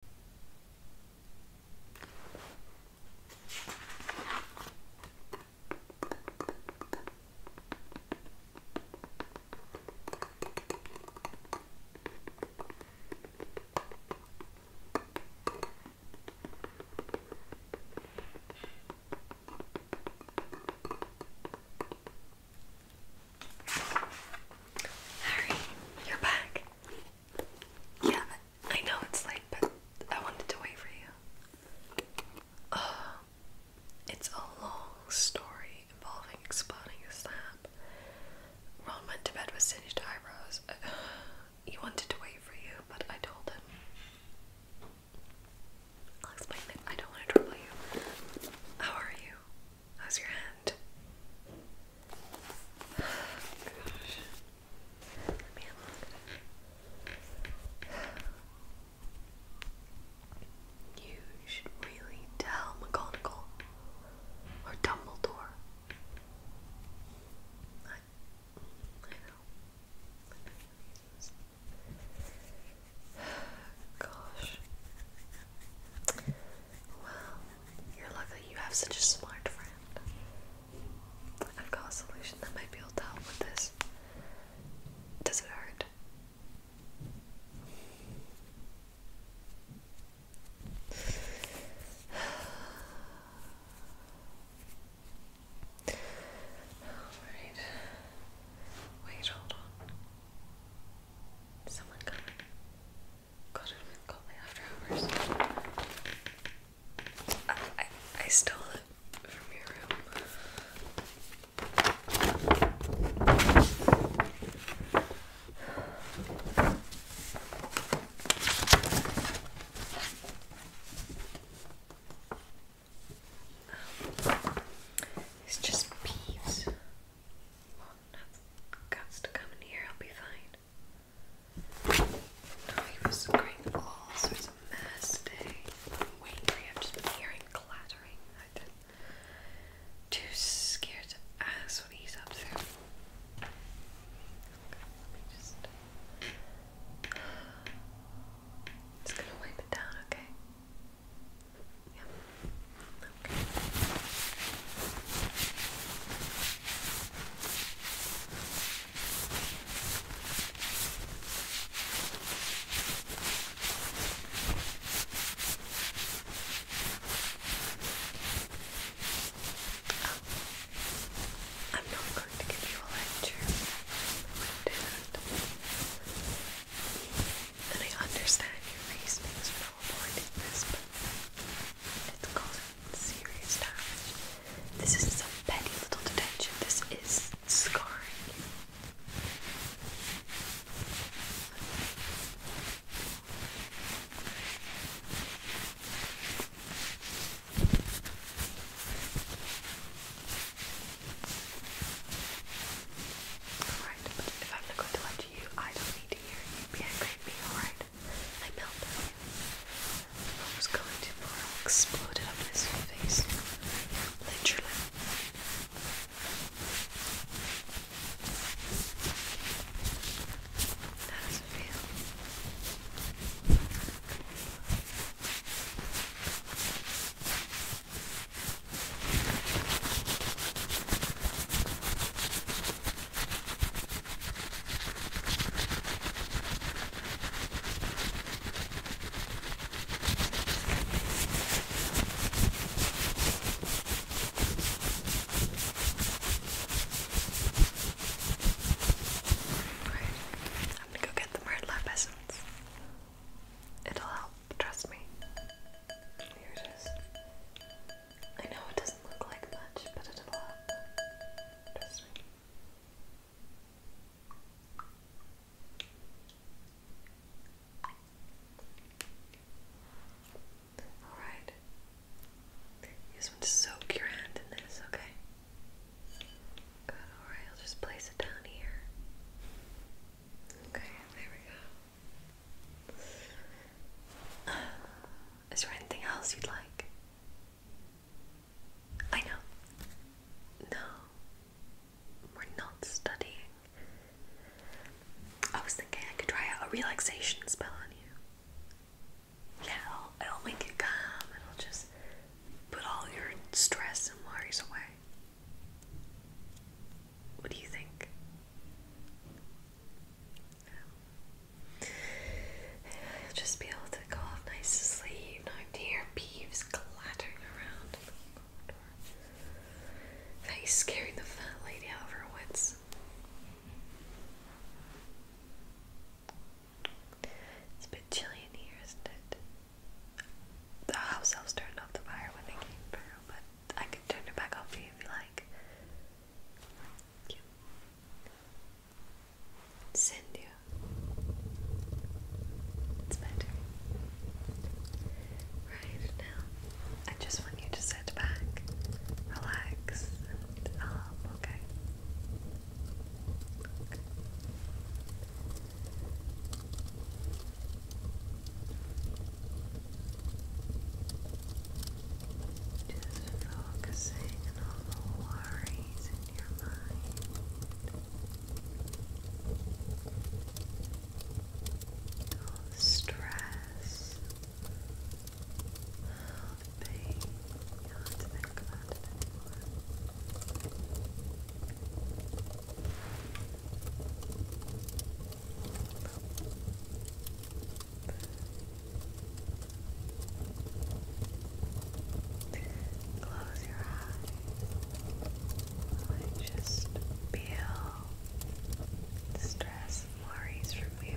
Harry, you're back. Yeah, I know it's late, but I wanted to wait for you. Uh, it's a long story involving exploding a snap. Ron went to bed with singed eyebrows. Uh, he wanted to wait for you, but I told him. I'll explain it. I don't want to trouble you. How are you? How's your hand? gosh. You should really tell McGonagall or Dumbledore. Gosh. Well, you're lucky you have such a smart friend. I've got a solution that might be able to help with this. Does it hurt? Alright. Wait, hold on. Someone coming. God, i call my after hours. I, I, stole it from your room. it's just peeves. Well, guts to come in here, I'll be fine. Oh, he was creating all oh, sorts of mess today. I'm waiting I've just hearing clattering. too scared to ask what he's up to. just. gonna wipe it down, okay? Yeah. Okay. I'm not going to give you a lecture. I and I understand your reasonings for not avoiding this, but it's causing serious damage. This is some petty little detention, this is scarring. Alright, but if I'm not going to lie you, I don't need to hear you be angry alright? I melted. What was going to far exploded up his face. Literally. That does I'm gonna go get the Myrtla essence. It'll help, trust me. I know it doesn't look like much, but it'll happen. Trust me. Alright. You just want to in this, okay? Good, alright, I'll just place it down here. Okay, there we go. Is there anything else you'd like? I know. No. We're not studying. I was thinking I could try out a relaxation spell on you. Yeah, it'll, it'll make you calm. It'll just put all your stress and worries away. What do you think? I'll just be able to go off nice to sleep. No I hear beeves clattering around in the scaring the fat lady out of her wits. It's a bit chilly in here, isn't it? The house elves turned off the fire when they came but I could turn it back on for you if you like. Send you. It's my Right now, I just want you to sit back, relax, and um, okay. Just focusing on all the worries in your mind. All the stress. All the pain. You don't think about it anymore. Close your eyes and just feel the stress and worries from you.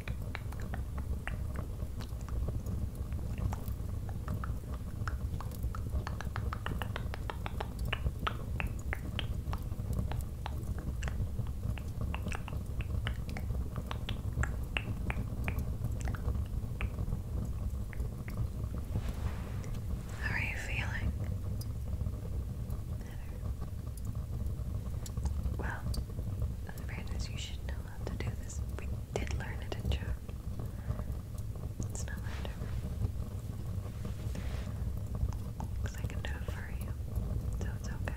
How are you feeling? Well, in fairness, you should know how to do this. We did learn it in June. It's no matter. Because I can do it for you. So it's okay.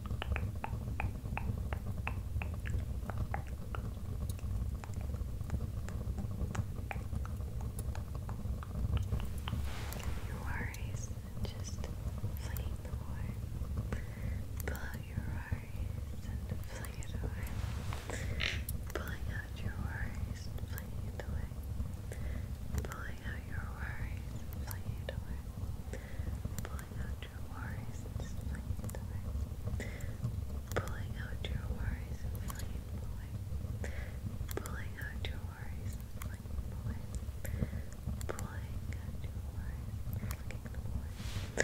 Your worries just fling them away. Pull out your worries and fling it away. Pulling out your worries and flinging it away. Pulling out your worries and flinging it away pulling out your worries and just away, pulling out your worries and them away, pulling out your worries and them away, pulling out your worries and them away,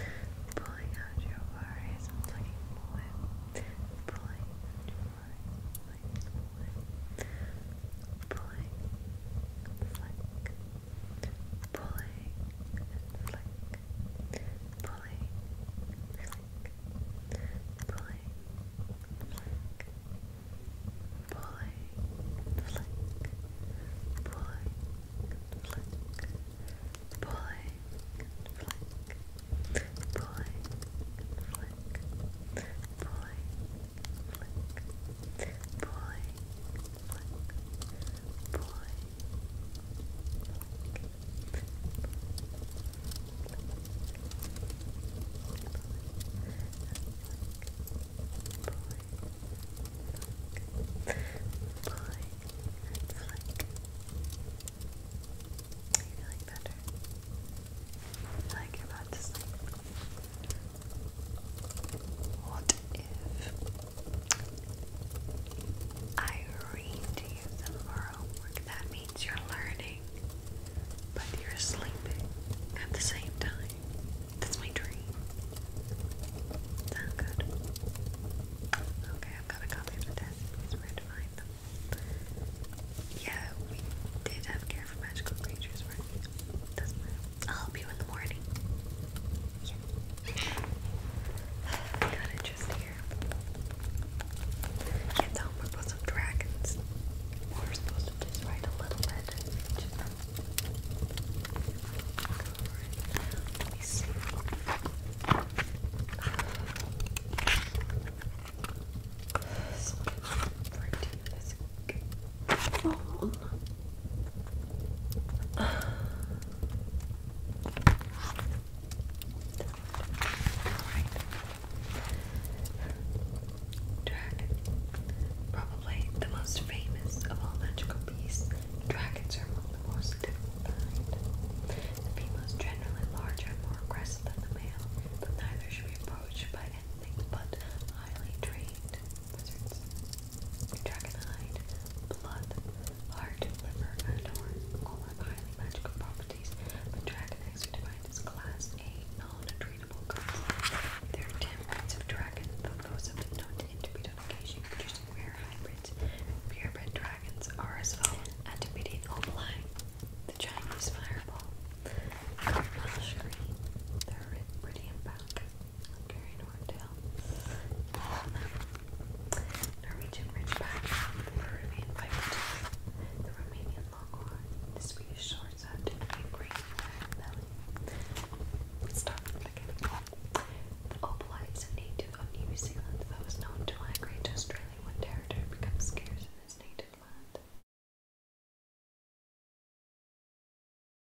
pulling out your worries and them away, pulling out your worries and them away, pulling, flick, pulling and flick, pulling, flick, pulling, flick, pulling, flick, pulling, flick, pulling, flick, pulling, flick, pulling, flick, pulling, flick, pulling, are you feeling better? Like you're What if I read to you some That means you're learning, but you're sleeping at the same time. That's my dream. Sound good? Okay, I've got a copy of the test. Here's where to them. Yeah, we did have care for magical creatures, right? does I'll help you in the morning. Yeah. Got it just here. Can't we're both some dragons. We're supposed to just write a little bit. Let me see. So, for this phone. Alright. Probably the most famous of all magical beasts, dragons are among the most difficult kind. The female generally larger and more aggressive than the male, but neither should be approached by anything but highly trained wizards. Dragonhide, blood, Heart, liver, and horns all have highly magical properties, but Dragonite are defined as Class A non-treatable cards. There are 10 breeds of dragon, though those have been known to interbreed on producing rare hybrids. Purebred dragons are as follows: Antipodean Opalai, the Chinese Fireball, Cardinal Shuri, the Ontario um, Norwegian Ridgeback, the Peruvian Piper, Romanian Longhorn, Swedish Shortset, and Belly. Start The opalite is a native of New Zealand that was known to migrate to Australia when territory becomes scarce in its native land.